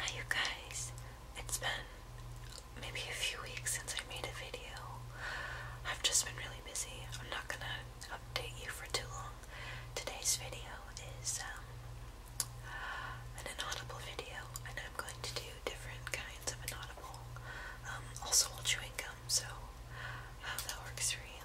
Hi you guys, it's been maybe a few weeks since I made a video. I've just been really busy. I'm not gonna update you for too long. Today's video is um, an inaudible video and I'm going to do different kinds of inaudible. Um, also, I'll chew gum, so I that works for you.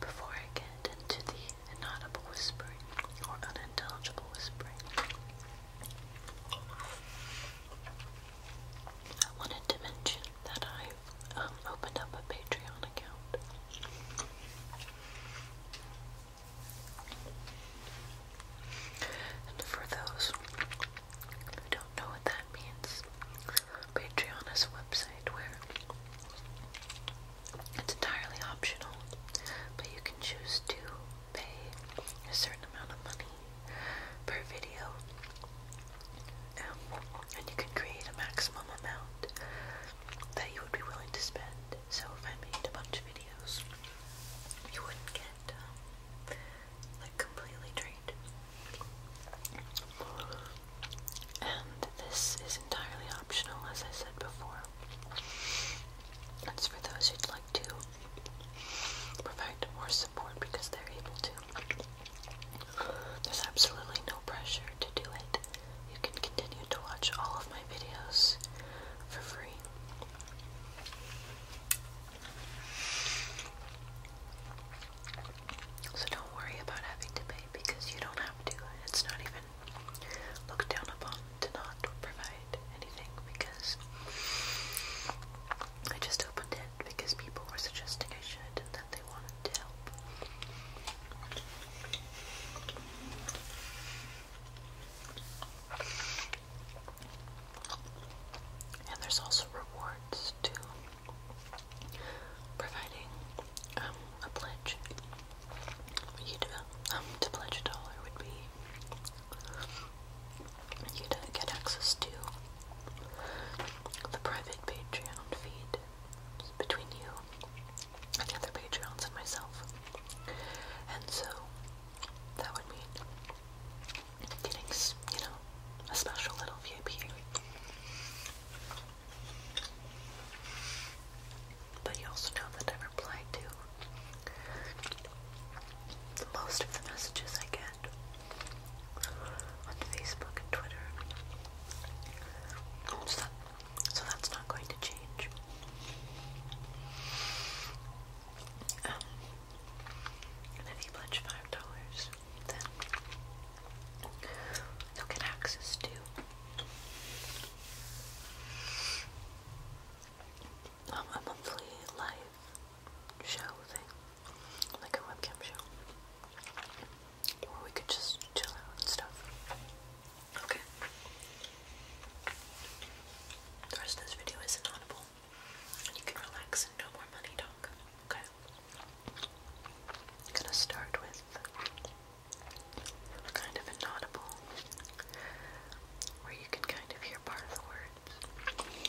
Before I get into the inaudible whispering or unintelligible whispering, I wanted to mention that I um, opened up a Patreon account. And for those who don't know what that means, Patreon is a website where it's entirely optional, but you can choose to pay a certain amount of money per video Oh, and you can create a maximum amount that you would be willing to spend. So if I made a bunch of videos, you wouldn't get um, like completely drained. And this is entirely optional, as I said before. It's for those who'd like to provide more support because they're able to. There's absolutely no pressure to do it. You can continue to watch all of my videos for free. So don't worry about having to pay because you don't have to. It's not even looked down upon to not provide anything because I just opened it because people were suggesting I should and that they wanted to help. And there's also rewards too, providing um, a pledge. You'd, uh, um, to pledge a dollar would be you'd uh, get access to the private Patreon feed between you and the other patrons, and myself. And so that would mean getting, you know, a special little VIP. But you also know that I reply to most of the messages I get on Facebook and Twitter. So, that's not going to change. Um, and if you pledge five dollars, then you'll get access to a monthly live show thing like a webcam show. Or we could just chill out and stuff. Okay. The rest of this video is inaudible. And you can relax no more money talk. Okay. I'm gonna start with kind of inaudible where you can kind of hear part of the words.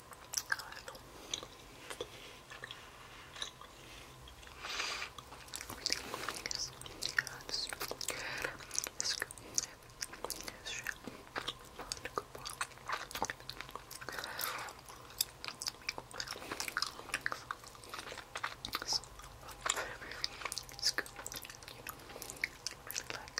Everything is just good. It's good. It's shit. So, everything is good. You know, really like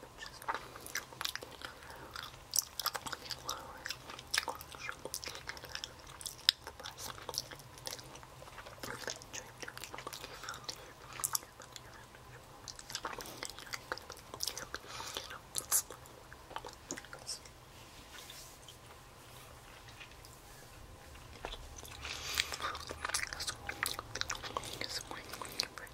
bitches. It's a quick, quick, quick,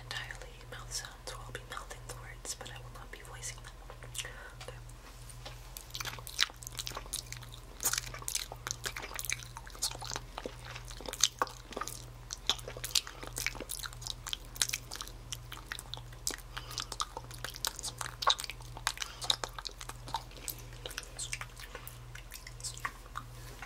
entirely. Mouth sounds will be mouthing the words, but I will not be voicing them.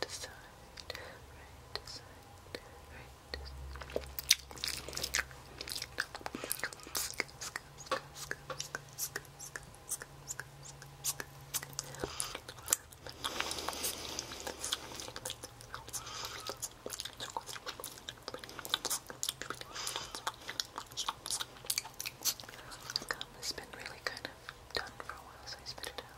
to side, right to right to side. Gum really kind of done for a while, so I spit it out.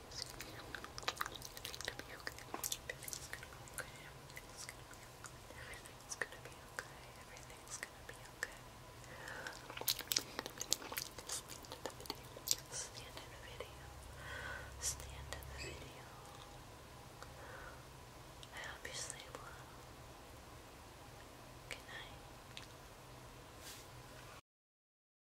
everything's gonna be okay. Everything's gonna be okay. Everything's gonna be okay. Everything's gonna be okay. Everything's the end of the video. This the end of the video. This the end of the video. I hope you sleep well. Good night.